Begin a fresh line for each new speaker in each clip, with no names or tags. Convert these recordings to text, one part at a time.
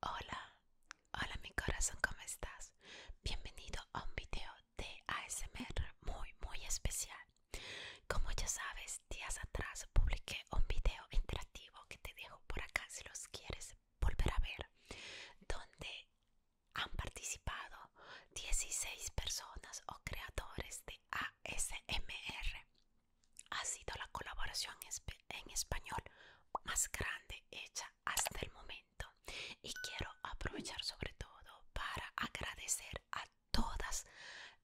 Hola, hola mi corazón, ¿cómo estás? Bienvenido a un video de ASMR muy muy especial. Como ya sabes, días atrás publiqué un video interactivo que te dejo por acá si los quieres volver a ver, donde han participado 16 personas o creadores de ASMR. Ha sido la colaboración especial en español más grande hecha hasta el momento y quiero aprovechar sobre todo para agradecer a todas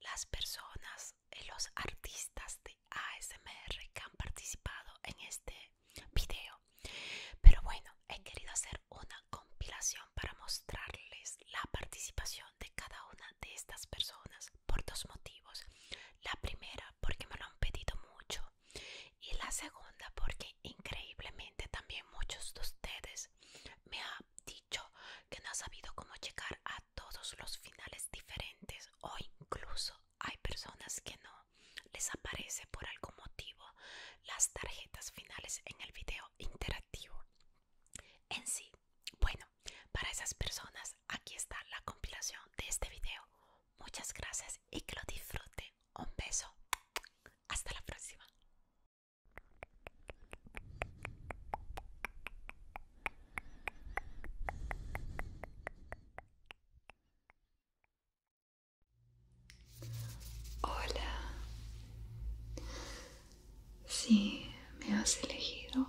las personas y eh, los artistas de ASMR que han participado en este video pero bueno he querido hacer una compilación para mostrarles la participación de cada una de estas personas por dos motivos la primera porque me lo han pedido mucho y la segunda porque increíblemente también muchos de ustedes me han dicho que no han sabido cómo checar a todos los finales diferentes o incluso hay personas que no les aparece por algún motivo las tarjetas finales en el video interactivo. En sí, bueno, para esas personas aquí está la compilación de este video. Muchas gracias y que lo disfruten. Un beso. Hasta la próxima. Hola. Si me has elegido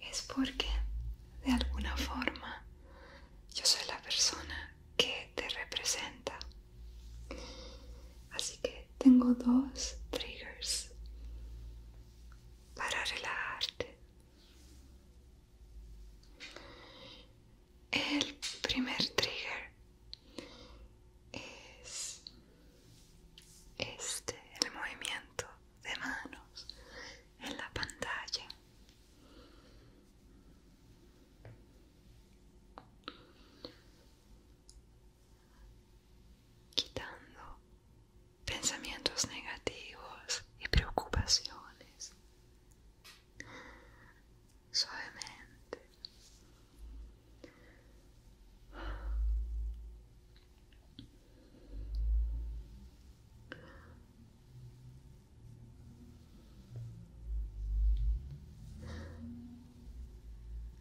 es porque de alguna forma yo soy la persona que te representa. Así que tengo dos triggers para relajarte. El primer trigger es este, el movimiento de manos en la pantalla quitando pensamientos negativos y preocupaciones suavemente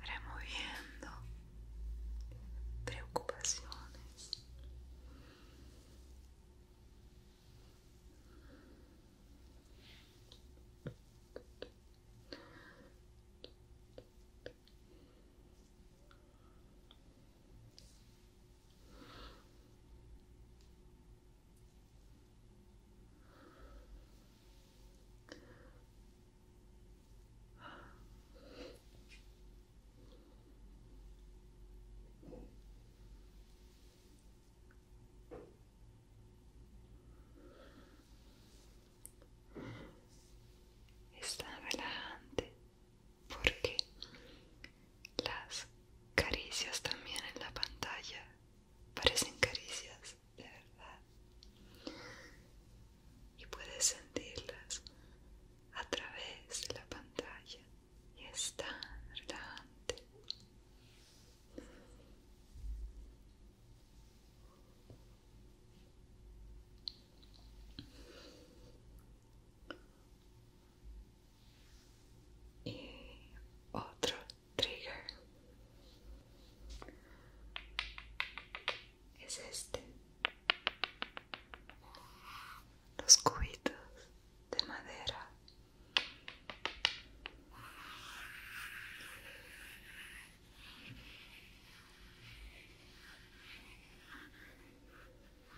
removiendo preocupaciones está tan relajante porque las caricias también en la pantalla parecen caricias de verdad y puedes sentirlas a través de la pantalla y es delante y otro trigger es este los cubitos de madera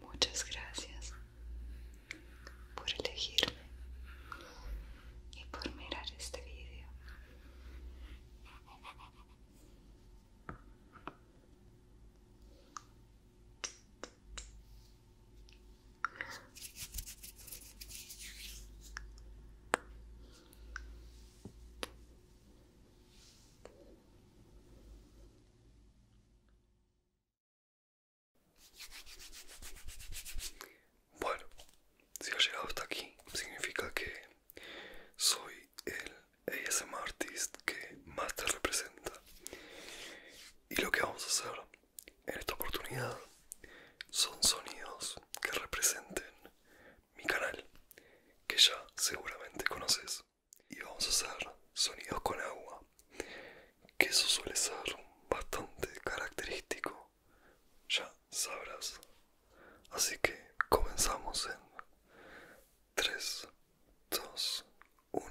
Muchas gracias por elegirme y por mirar este vídeo. Bueno, si has llegado hasta aquí, significa que soy el ASM artist que más te representa. Y lo que vamos a hacer en esta oportunidad son sonidos que representen mi canal, que ya seguramente conoces. Y vamos a hacer sonidos con agua, que eso suele ser bastante característico, ya sabrás. Así que comenzamos en 3, 2, 1.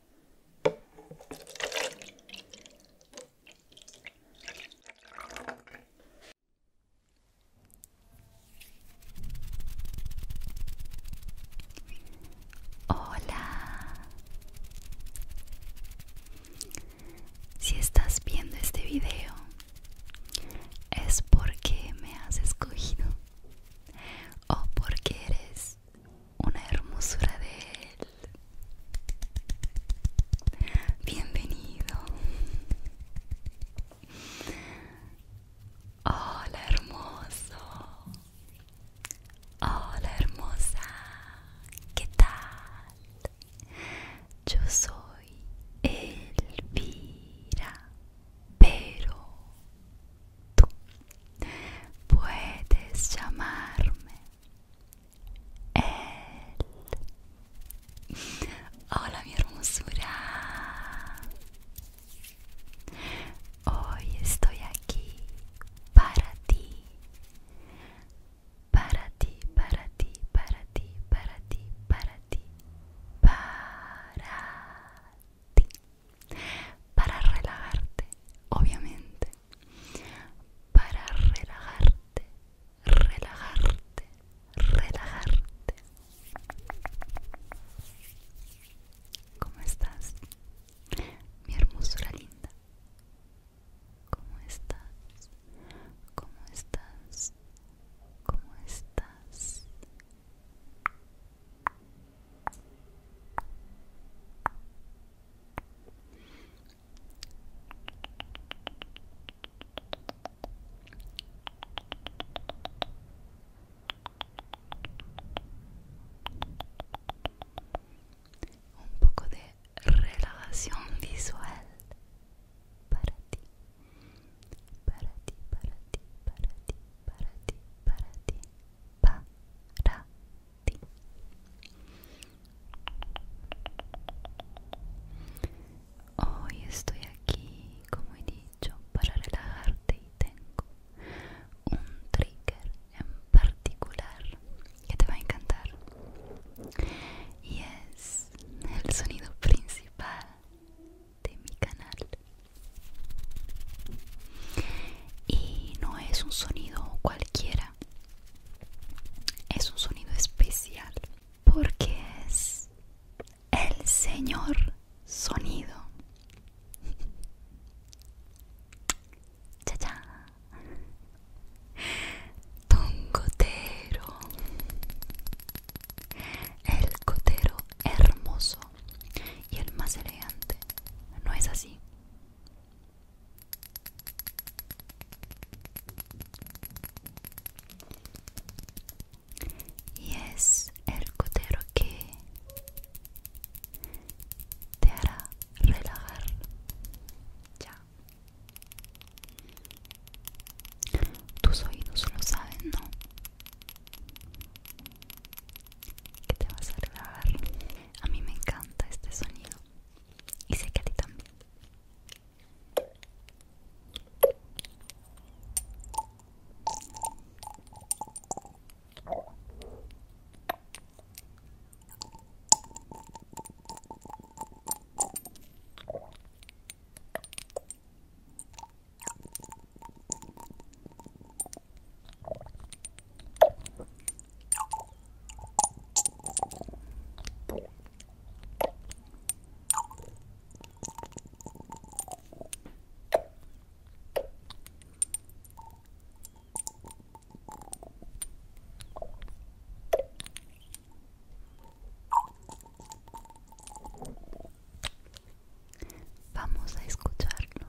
Hola. Si estás viendo este video es porque me has escogido o porque eres una hermosura de él. Bienvenido. Hola hermoso. Hola hermosa. ¿Qué tal? Yo soy Elvira, pero tú puedes llamarme él. Hola mi hermosura. Hoy estoy aquí para ti. Para ti, para ti, para ti, para ti, para ti, para para relajarte obviamente para relajarte relajarte relajarte ¿Cómo estás? Mi hermosura linda ¿Cómo estás? ¿Cómo estás? ¿Cómo estás? Un poco de relajación visual para ti, para ti, para ti, para ti, para ti, para ti, para ti. Hoy estoy aquí, como he dicho, para relajarte y tengo un trigger en particular que te va a encantar. Y es el sonido principal de mi canal y no es un sonido cualquiera, es un sonido especial porque es el señor sonido. El gotero hermoso y el más elegante, ¿no es así? Y es el cotero que te hará relajar. Ya. Tus oídos lo saben, ¿no? que te vas a relajar. A mí me encanta este sonido y sé que a ti también.
Vamos a escucharlo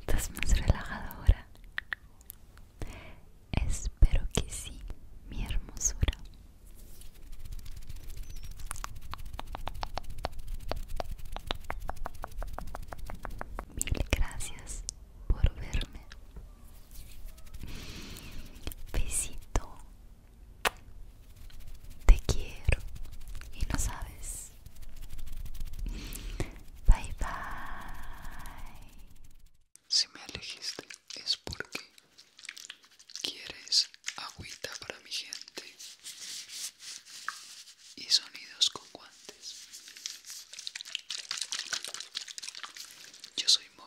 ¿Estás más relajada ahora?
Espero que sí, mi hermosura. Mil gracias por verme. Besito. Te quiero y no sabes. Bye bye. Si me elegiste es porque quieres agüita para mi gente y sonidos con guantes. Yo soy Molo.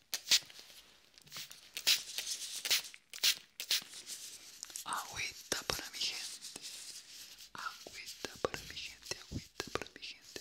Agüita para mi gente. Agüita para mi gente, agüita para mi gente.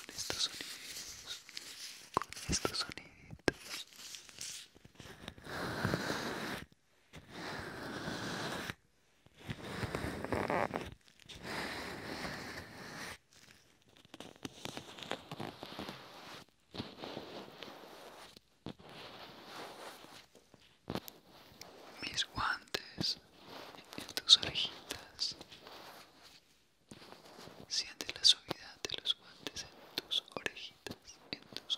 con estos
sonidos, con estos soniditos. Mis guantes en tus orejitas. Siente la suavidad de los guantes en tus orejitas, en tus orejitas.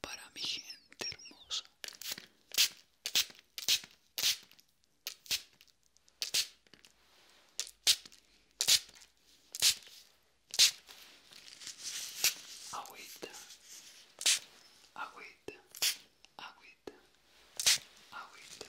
para mi gente hermosa. Agüita, agüita, agüita, Aguita.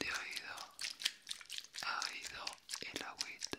De oído ha oído el agüita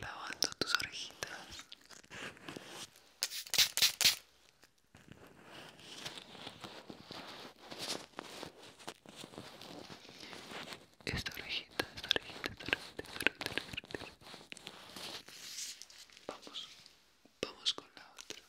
lavando tus orejitas esta orejita, esta orejita, esta esta Vamos Vamos con la otra.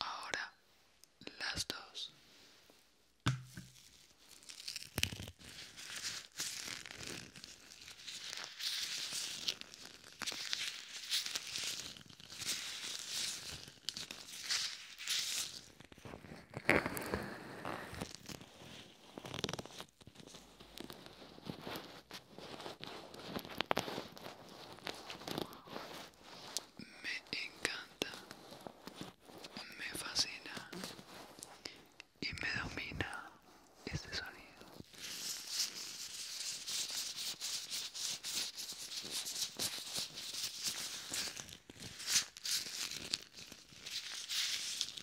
Ahora las dos. Me encanta, me fascina y me domina este sonido.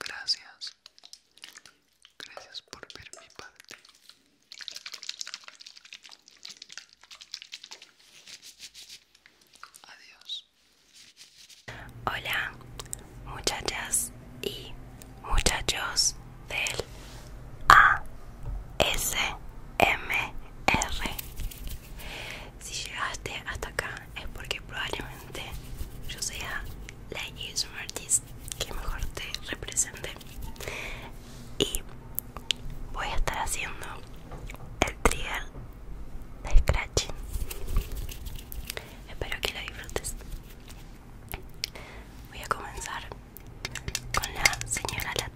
Gracias, gracias por ver mi parte. Adiós. Hola, muchachas y muchachos del ASMR.
Si llegaste hasta acá es porque probablemente yo sea la ASMR que mejor
te represente. Y voy a estar haciendo el trigger de espero que la disfrutes voy a comenzar con la señora la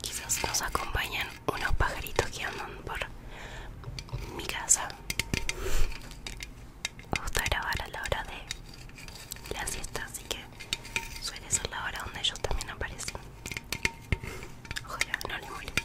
Quizás nos acompañen unos pajaritos que andan por mi casa. Me gusta grabar a la hora de la siesta, así que suele ser la hora donde ellos también aparecen. Ojalá no les moleste.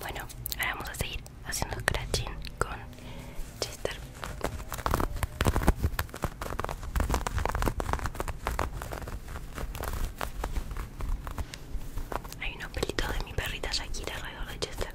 Bueno, ahora vamos a seguir haciendo scratching con Chester. Hay unos pelitos de mi perrita aquí alrededor de Chester.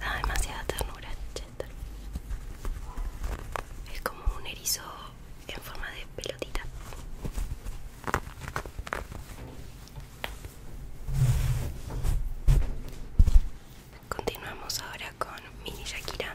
Da demasiada ternura, Es como un erizo en forma de pelotita. Continuamos ahora con Mini Shakira.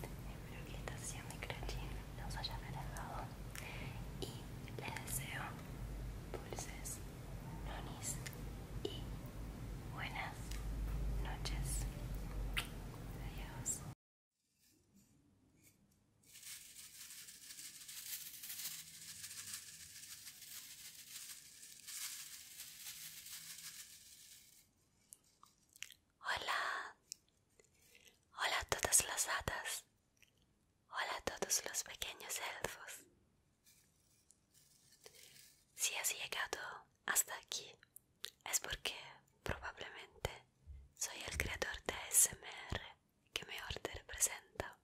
espero que esta sesión de crachin los haya relajado y les deseo dulces, nonis y buenas noches. Adiós. Hola, hola a todas las hadas, hola a todos los pequeños elfos. Si has llegado hasta aquí es porque probablemente soy el creador de ASMR que me te representa.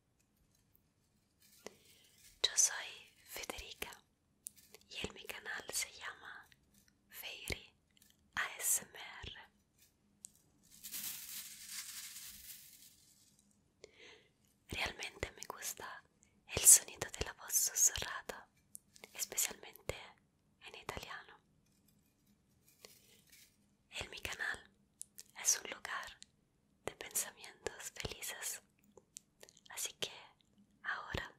Yo soy Federica y el mi canal se llama Fairy ASMR. Realmente me gusta el sonido de la voz susurrada, especialmente en italiano. El mi canal es un lugar de pensamientos felices, así que ahora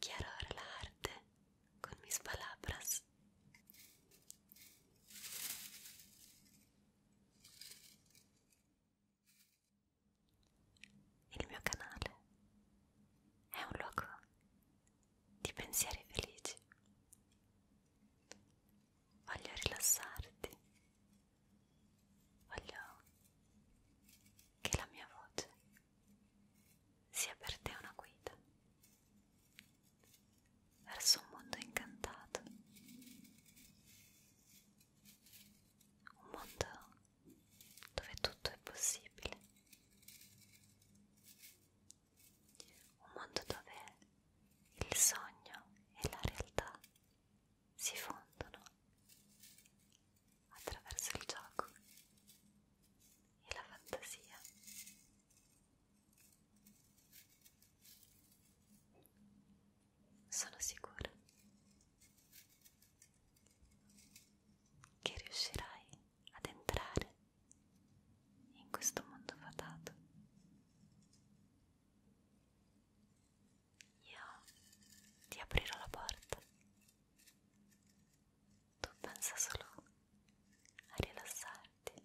Quiero relajarte con mis palabras. Il mio canale è un luogo di pensieri felici. Voglio rilassarti. Voglio che la mia voce sia per te una guida verso un mondo incantato, un mondo dove tutto è possibile, un mondo dove il sogno e la realtà si fondono attraverso il gioco e la fantasia. Sono sicura che riuscirai ad entrare in questo mondo fatato. Io ti aprirò la porta tu pensa solo a rilassarti.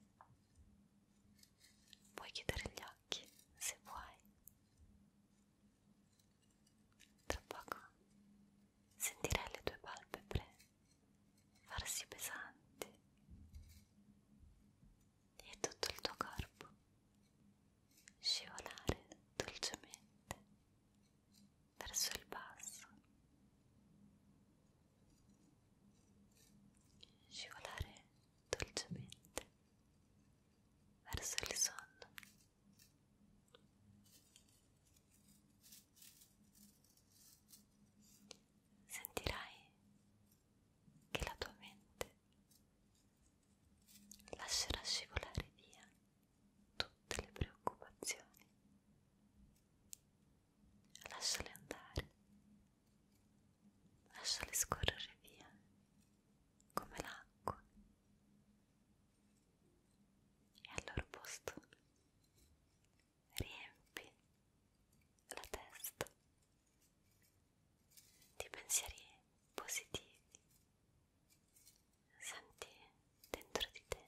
Puoi chiudere gli occhi se vuoi. Tra poco sentirai le tue palpebre farsi pesanti e tutto il tuo corpo scivolare dolcemente verso il basso, scivolare dolcemente verso il sonno. Sentirai che la tua mente lascerà scivolare via tutte le preoccupazioni. Lasciale andare, lasciale scorrere via come l'acqua e al loro posto riempi la testa di pensieri positivi senti dentro di te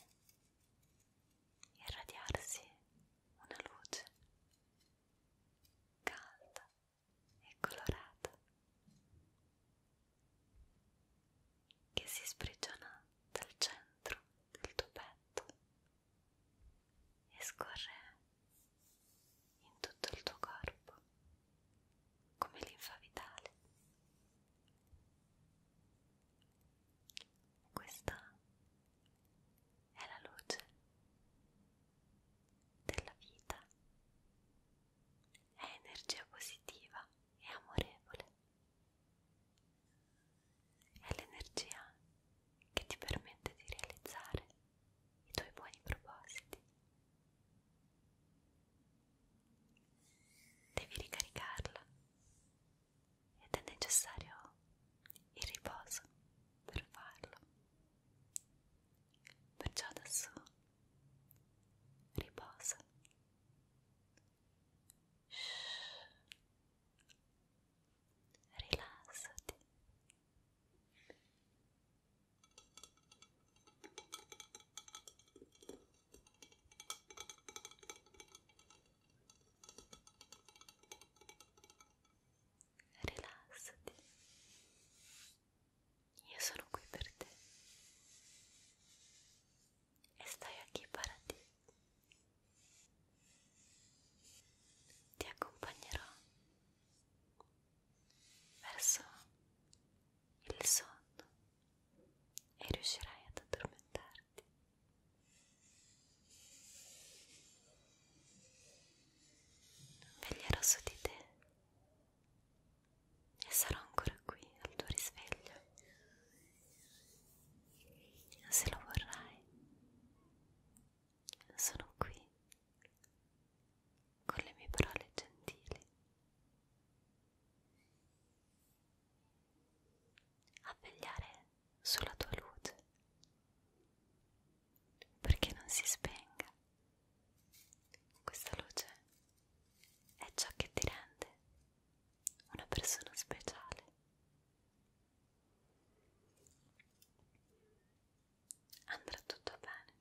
irradiarsi una luce calda e colorata che si sprigiona dal centro del tuo petto e scorre in tutto il tuo corpo come linfa vitale questa è la luce della vita, è energia positiva e amorevole, è l'energia che ti permette di realizzare i tuoi buoni propositi. Devi ricaricarla ed è necessario il riposo per farlo. Perciò adesso riposa. Shhh. Rilassati. Rilassati. Io sono qui per te. E stai aquí para ti. Ti accompagnerò verso il sonno e riuscirai ad addormentarti. Veglierò su di te e sarò ancora qui al tuo risveglio. Se lo vorrai, sono qui con le mie
parole gentili
a vegliare sulla tua luce perché non si spenga questa luce è ciò che ti rende una persona speciale andrà tutto bene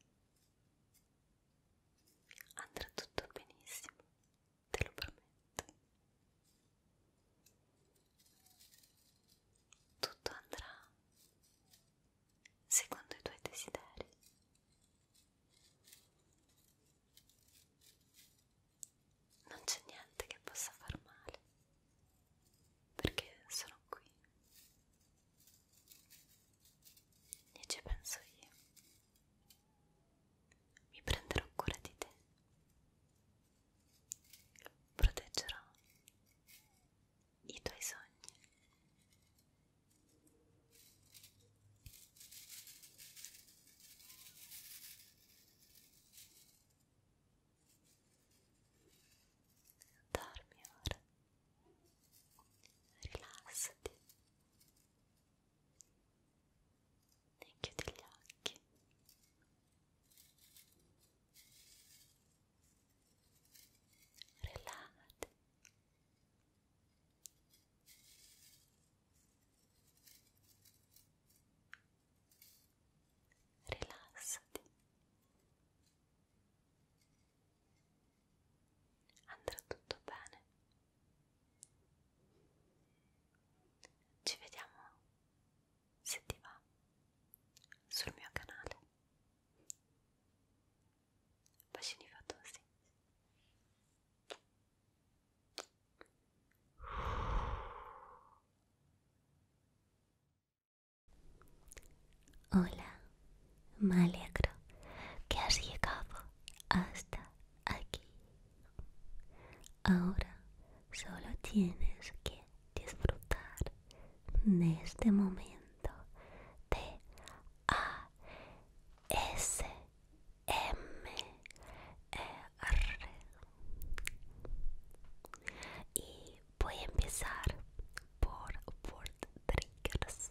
andrà tutto benissimo te lo prometto. Tutto andrà secondo i tuoi desideri. Non c'è niente che possa far male, perché sono qui e ci penso io. Mi prenderò cura di te. Proteggerò i tuoi sogni. Dormi ora,
rilassati, e chiudi gli occhi rilassati rilassati andrà
tutto bene Ci vediamo se ti va sul mio canale. Bacini fatosi. Hola, me alegro que has llegado hasta aquí. Ahora solo tienes que disfrutar de este momento de A S M R y voy a empezar por fort triggers.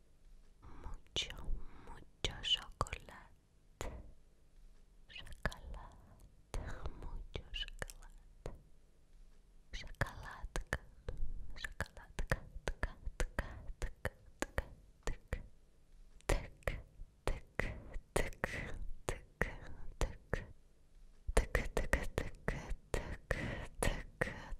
mucho, mucho chocolate, chocolate, mucho chocolate, chocolate, chocolate,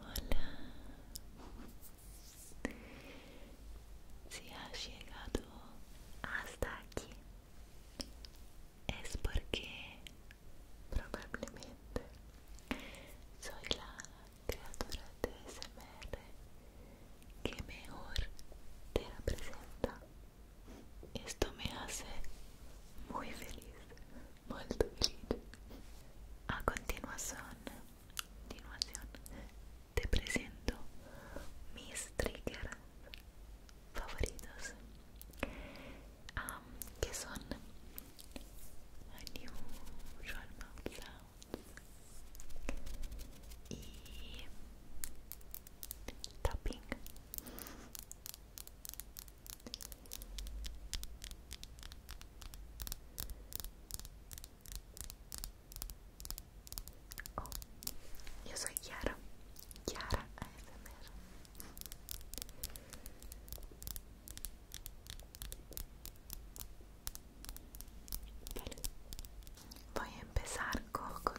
Hola. Si has llegado hasta aquí, es porque probablemente soy la creadora de SMR que mejor te representa esto me hace muy feliz, muy feliz. A continuación, continuación te presento mis triggers favoritos, que son unusual mouth sounds y tapping oh, yo soy Yara Yara ASMR Vale. Voy a empezar con, con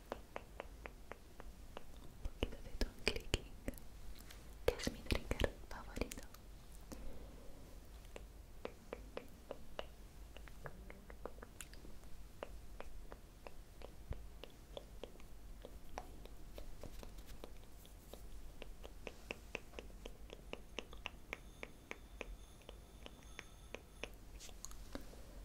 un poquito de ton clicking que es mi trigger favorito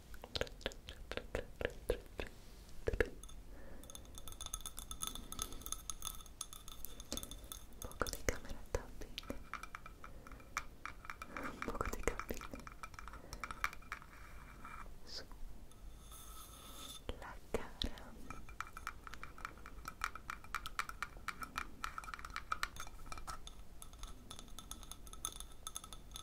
un poco di camera tapping un poco di tapping su la cara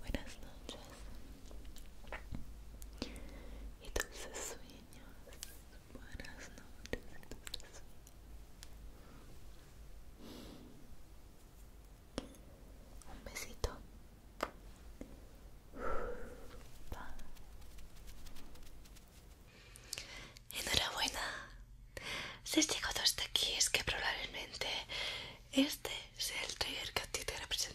Buenas noches y dulces sueños. Buenas noches Un besito. Enhorabuena. Si llegó hasta aquí es que probablemente este es el trigger que a ti te representa.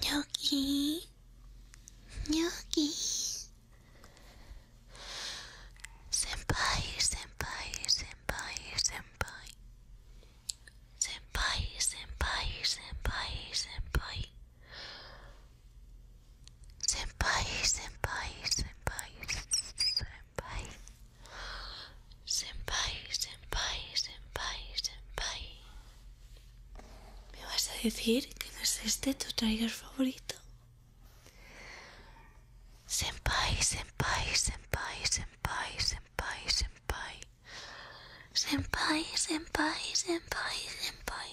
Gnocchi, Gnocchi, senpai, senpai, senpai, senpai, senpai, senpai, senpai, senpai, senpai, senpai, senpai. senpai. senpai Senpai, senpai, senpai, senpai ¿Me vas a decir que no es este tu trailer favorito? Senpai, senpai, senpai, senpai, senpai, senpai Senpai, senpai, senpai, senpai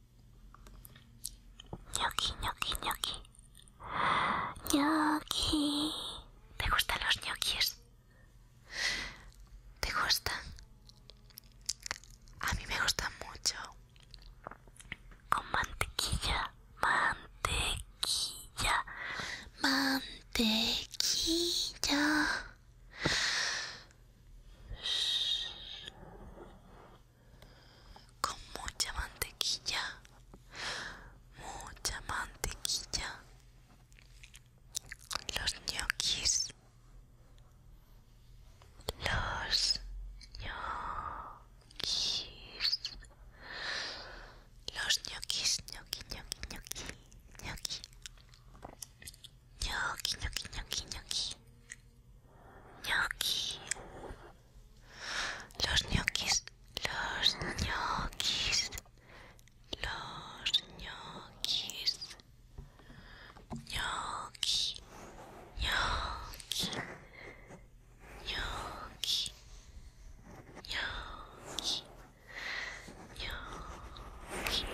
ñoqui, ñoqui, ñoqui. Ñoqui. ¿Te gustan los ñoquis? ¿Te gustan? A mí me gustan mucho. Con mantequilla, mantequilla, mantequilla con mucha mantequilla, mucha mantequilla, los ñoquis, los ñoquis, los ñoquis, ñoqui, ñoqui, ñoqui, ñoqui, ñoqui, ñoquis, ñoqui, ñoqui ñoqui los ñoquis los ñoquis los ñoquis ñoqui ñoqui ñoqui ñoqui ñoqui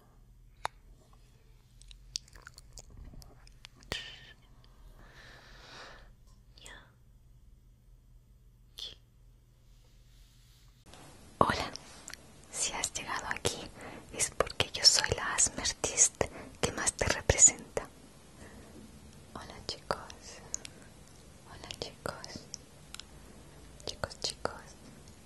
Hola, si has llegado aquí es porque yo soy la asmertist que más te representa. Hola chicos, hola chicos, chicos chicos,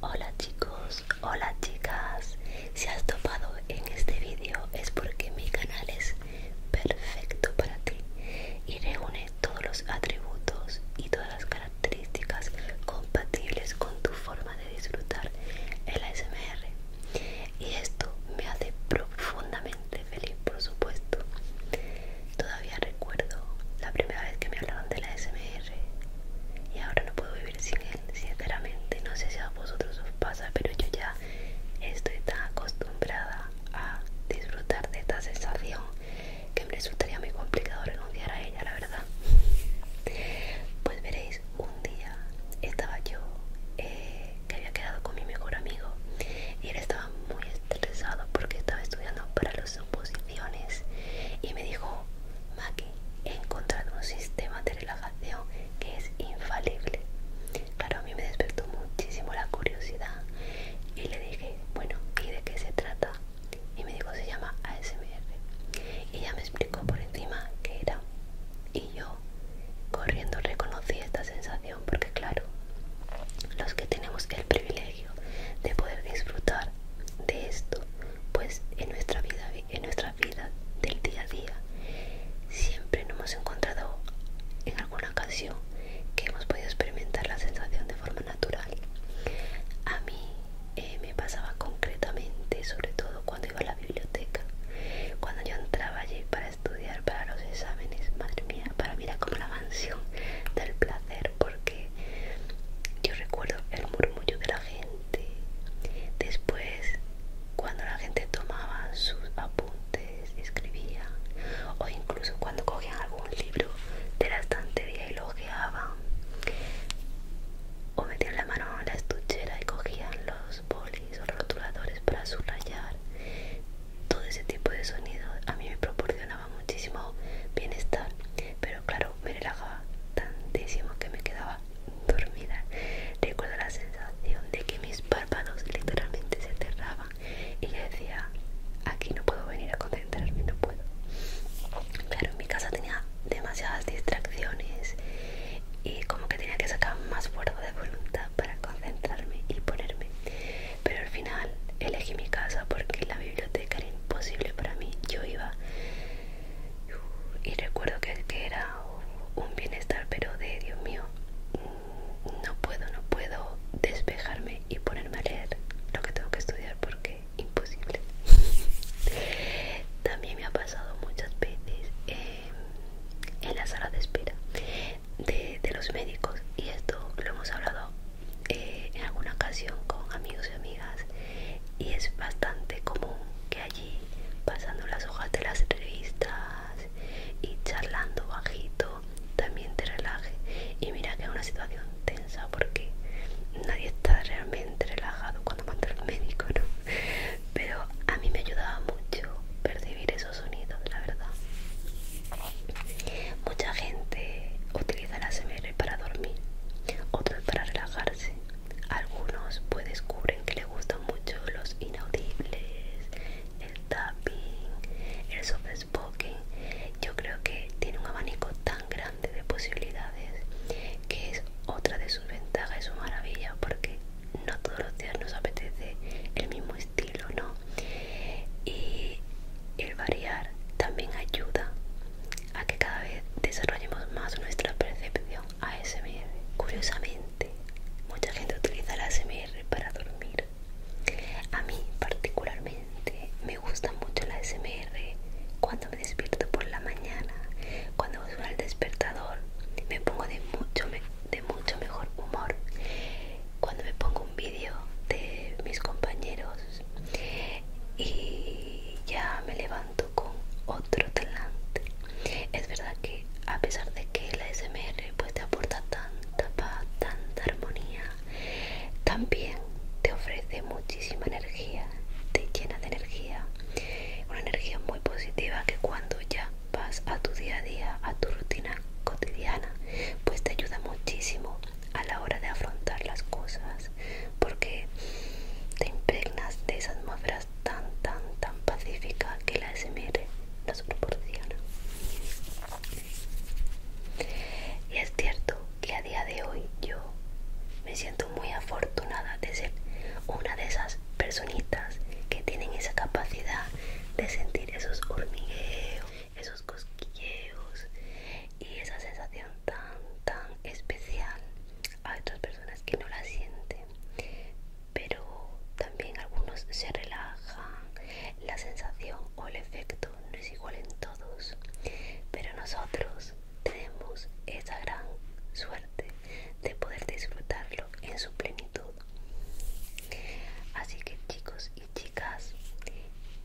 Hola chicos, hola chicas. Si has topado en este vídeo es porque mi canal es perfecto para ti y reúne todos los atributos y todas las características compatibles con tu forma de disfrutar el ASMR. Y esto me hace profundamente feliz, por supuesto. Todavía recuerdo la primera vez que me hablaron de la ASMR y ahora no puedo vivir sin él, sinceramente. No sé si a vosotros os pasa, pero yo ya estoy tan acostumbrada a disfrutar de esta sensación que me resultaría muy complicado renunciar a ella, la verdad. Pues veréis, un día estaba yo eh, que había quedado con mi mejor amigo y él estaba muy estresado porque estaba estudiando para los exámenes y me dijo, Maki, he encontrado un sistema de relajación que es infalible. Claro, a mí me despertó muchísimo la curiosidad y le dije, bueno, ¿y de qué se trata? Y me dijo, se llama ASMR. Y ya me explicó por encima qué era. Y yo, corriendo, reconocí esta sensación porque, claro, los que tenemos el privilegio de poder disfrutar de esto, pues en nuestra vida, en nuestra vida del día a día, siempre nos hemos encontrado en alguna ocasión que hemos podido experimentar la sensación de forma natural. A mí eh, me pasaba concretamente, sobre todo cuando iba a la biblioteca, cuando yo entraba allí para estudiar para los exámenes, madre mía, para mirar era como la mansión del placer, porque yo recuerdo el murmullo de la gente Después, cuando la gente tomaba sus apuntes, escribía, o incluso cuando cogían algún libro de la estantería y lo ojeaban, o metían la mano en la estuchera y cogían los bolis o rotuladores para subrayar, todo ese tipo de sonido a mí me proporcionaba muchísimo bienestar, pero claro, me relajaba tantísimo que me quedaba dormida. Recuerdo la sensación de que mis párpados literalmente se cerraban y yo decía, aquí no puedo venir a concentrarme, no puedo. Claro, en mi casa tenía demasiadas distracciones y como que tenía que sacar más fuerza de voluntad para concentrarme y ponerme. Pero al final elegí mi casa porque la biblioteca era imposible para mí. Yo iba y recuerdo que, que era un bienestar pero de Dios mío no puedo no puedo despejarme y ponerme a leer lo que tengo que estudiar porque imposible también me ha pasado muchas veces eh, en la sala de espera de, los médicos y esto lo hemos hablado eh, en alguna ocasión con amigos y amigas y es bastante común que allí pasando las hojas de las revistas y charlando bajito también te relaje y mira que es una situación tensa porque nadie está realmente relajado cuando manda al médico ¿no? pero a mí me ayudaba mucho percibir esos sonidos la verdad mucha gente utiliza la SMR para dormir otros para relajarse algunos pues descubren que les gustan mucho los inaudibles, el tapping, el soft spoken. Yo creo que tiene un abanico tan grande de posibilidades que es otra de sus ventajas y su maravilla porque no todos los días nos apetece el mismo estilo, ¿no? Y el variar también ayuda a que cada vez desarrollemos más nuestra percepción ASMR. Curiosamente, mucha gente utiliza la ASMR para dormir. A mí particularmente me gusta mucho la ASMR cuando me despierto por la mañana, cuando suena el despertador, me pongo de mucho, de mucho mejor humor. Cuando me pongo un vídeo de mis compañeros y ya me levanto con otro talante. Es verdad que a pesar de que la SMR pues te aporta tanta paz, tanta armonía, también te ofrece muchísima energía, te llena de energía, una energía muy positiva que cuando ya vas a tu día a día, a tu rutina cotidiana, pues te ayuda muchísimo a la hora de afrontar las cosas, porque te impregnas de esas atmósferas tan tan tan pacífica que la SMR nos proporciona y es cierto que a día de hoy yo me siento muy afortunada de ser una de esas personitas que tienen esa capacidad de sentir esos hormigueos, esos cosquilleos y esa sensación tan tan especial a otras personas que no la sienten pero también algunos se relajan la sensación o el efecto no es igual en todos pero nosotros tenemos esa gran suerte de poder disfrutarlo en su plenitud así que chicos y chicas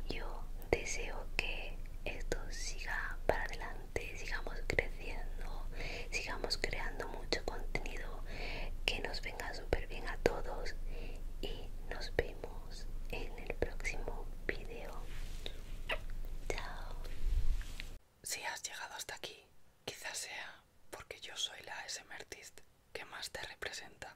yo deseo que esto siga para adelante sigamos creciendo, sigamos creando mucho contenido que nos venga súper bien a todos y nos vemos en el próximo video. Chao. Si has llegado
hasta aquí, quizás sea porque yo soy la SM artist que más te representa.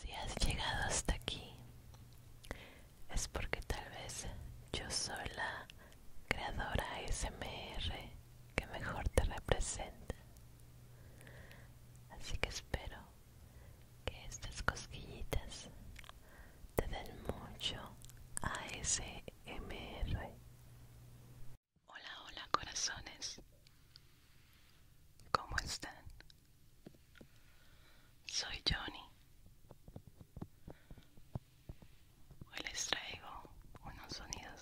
Si has llegado hasta aquí, es porque tal vez yo soy la creadora SMR que mejor te representa. Así que espero que estas cosquillitas te den mucho ASMR. Hola, hola corazones. ¿Cómo están? Soy Johnny. Hoy les traigo unos sonidos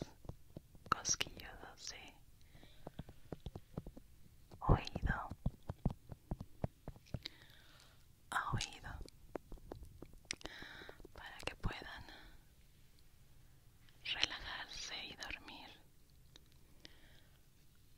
cosquillosos de oído a oído para que puedan relajarse y dormir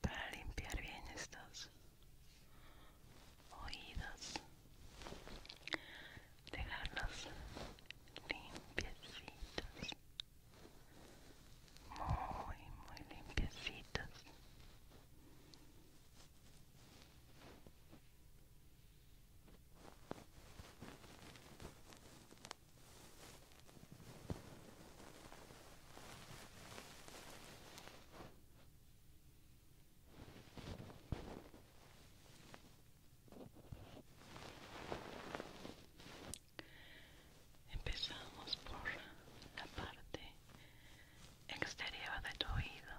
para limpiar bien estos oídas, dejarlas limpiecitos muy muy limpiecitos Empezamos por la parte exterior de tu oído.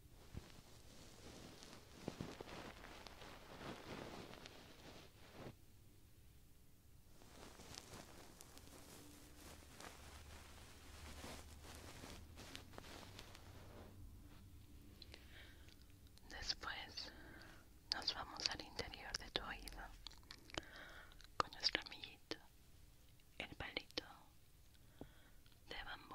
Después nos vamos al interior de tu oído con nuestro amiguito, el palito de bambú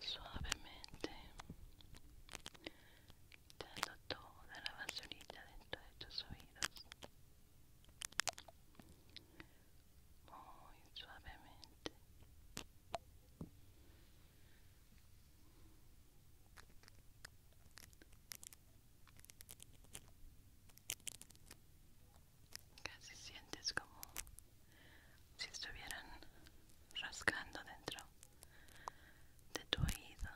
Suavemente dando toda la basurita dentro de tus oídos. Muy suavemente. Casi sientes como si estuvieran rascando dentro de tu oído.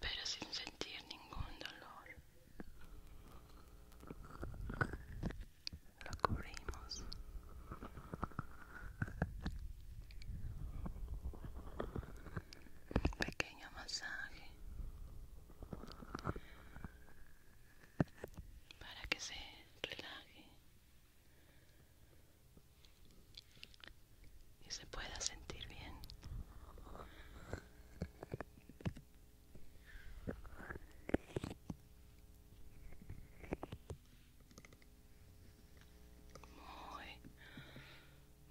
Pero sin sentir ningún dolor. Lo cubrimos un pequeño masaje para que se relaje y se pueda sentir bien. Muy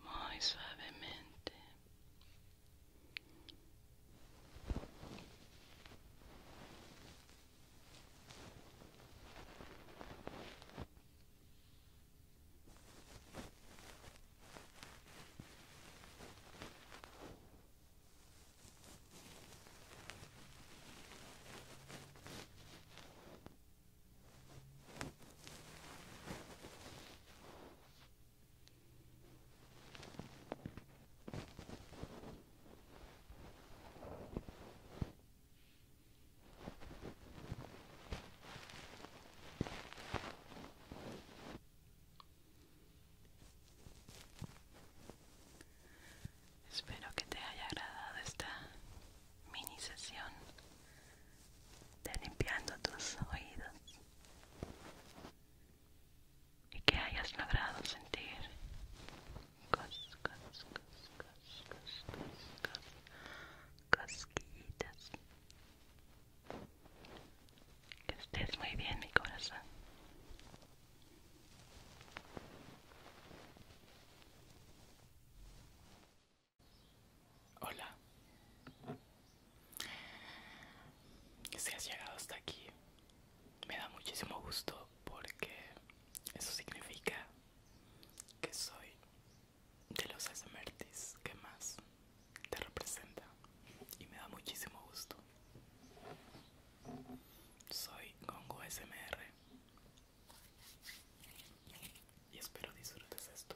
muy suavemente. Espero que te haya agradado esta mini sesión de limpiando tus oídos y que hayas logrado sentir cos, Que estés muy bien, mi corazón. Hola. Si has llegado hasta aquí, me da muchísimo gusto porque eso significa que soy de los asmertis que más te representa y me da muchísimo gusto. Soy congo SMR y espero disfrutes esto.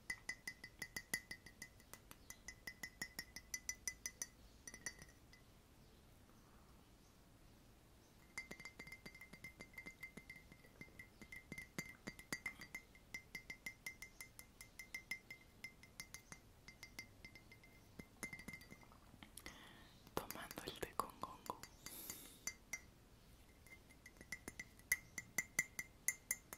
Tomando el té con gongo.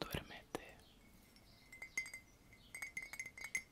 duermete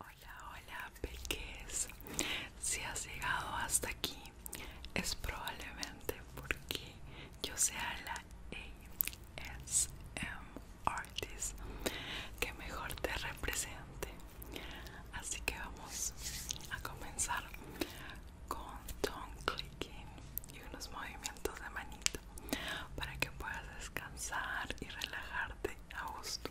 Hola, hola, peques. Si has llegado hasta aquí, es probablemente porque yo sea la ASM Artist que mejor te represente. Así que vamos a comenzar con tongue clicking y unos movimientos de manito para que puedas descansar y relajarte a gusto.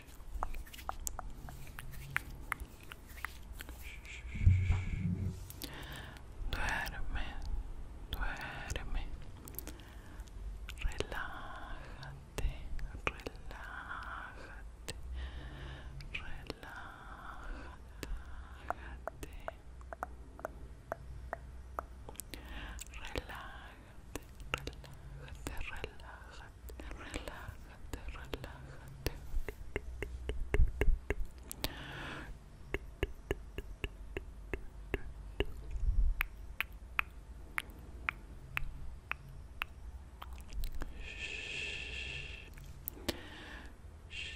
Duerme, duerme. Relájate, relájate. Relájate. Relájate, relájate, relájate relájate, relájate. Shh. Shh.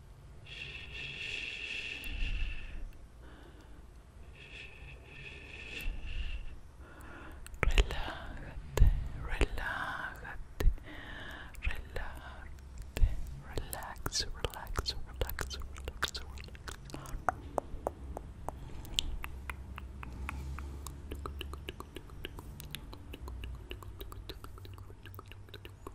Relájate, relájate, relájate, relax, relax, relax, relax, relax.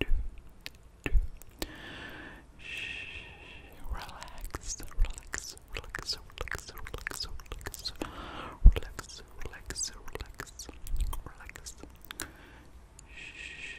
do, do. Shh, relax, relax, relax, relax, relax, relax, relax, relax, relax, relax. Shh.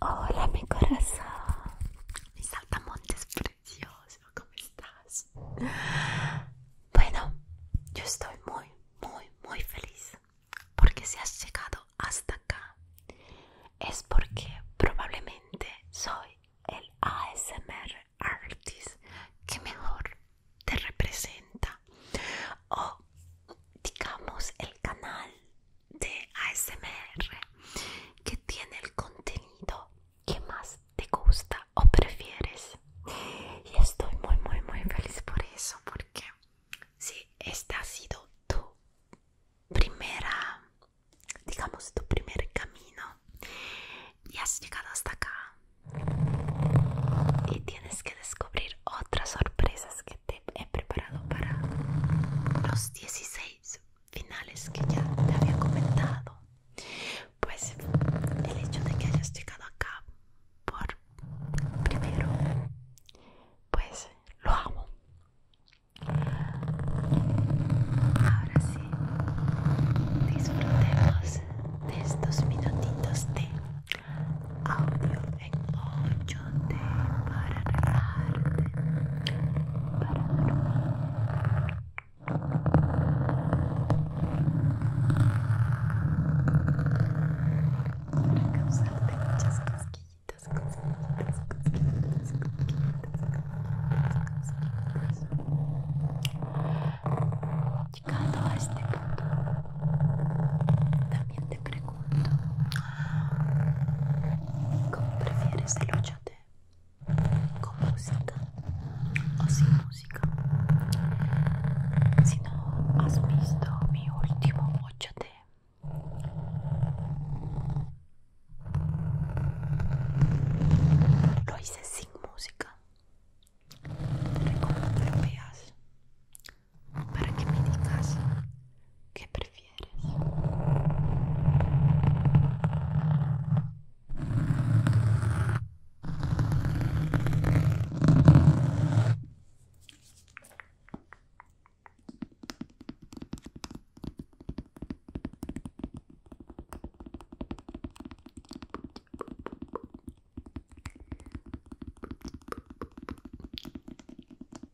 Hola mi
corazón, mi saltamontes precioso, ¿cómo estás? Bueno, yo estoy muy, muy, muy feliz porque si has llegado hasta acá es porque probablemente soy el ASMR artist que mejor te representa o digamos el canal de ASMR que tiene el contenido que más te gusta o prefieres y estoy muy muy muy feliz por eso porque si este ha sido tu primera digamos tu primer camino y has llegado hasta acá y tienes que descubrir otras sorpresas que te he preparado para los 16 finales que ya te había comentado pues el hecho de que hayas llegado acá por primero pues lo amo ahora sí disfrutemos de estos minutitos de audio en 8D para relajarte, para dormir. Para causarte muchas cosquillitas, cosquillitas, cosquillitas, cosquillitas, cosquillitas. Llegando a este punto, también te pregunto. ¿Cómo prefieres el ochote? ¿Con música o sin música? Si no has visto mi último ochote, lo hice sin música. Te recomiendo que veas para que me digas qué prefieres.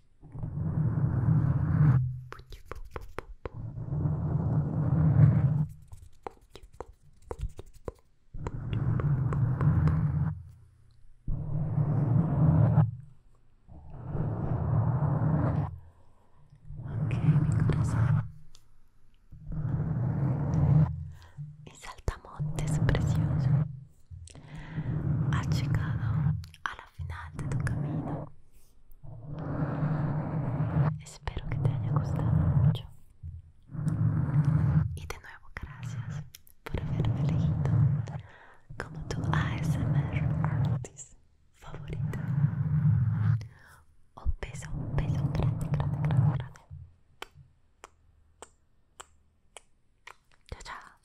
Ok, mi corazón. es saltamontes precioso. ha llegado a la final de tu camino. Espero que te haya gustado mucho. Y de nuevo, gracias por haberme elegido como tu ASMR artist favorita. Un beso, un beso grande, grande, grande, grande. chao.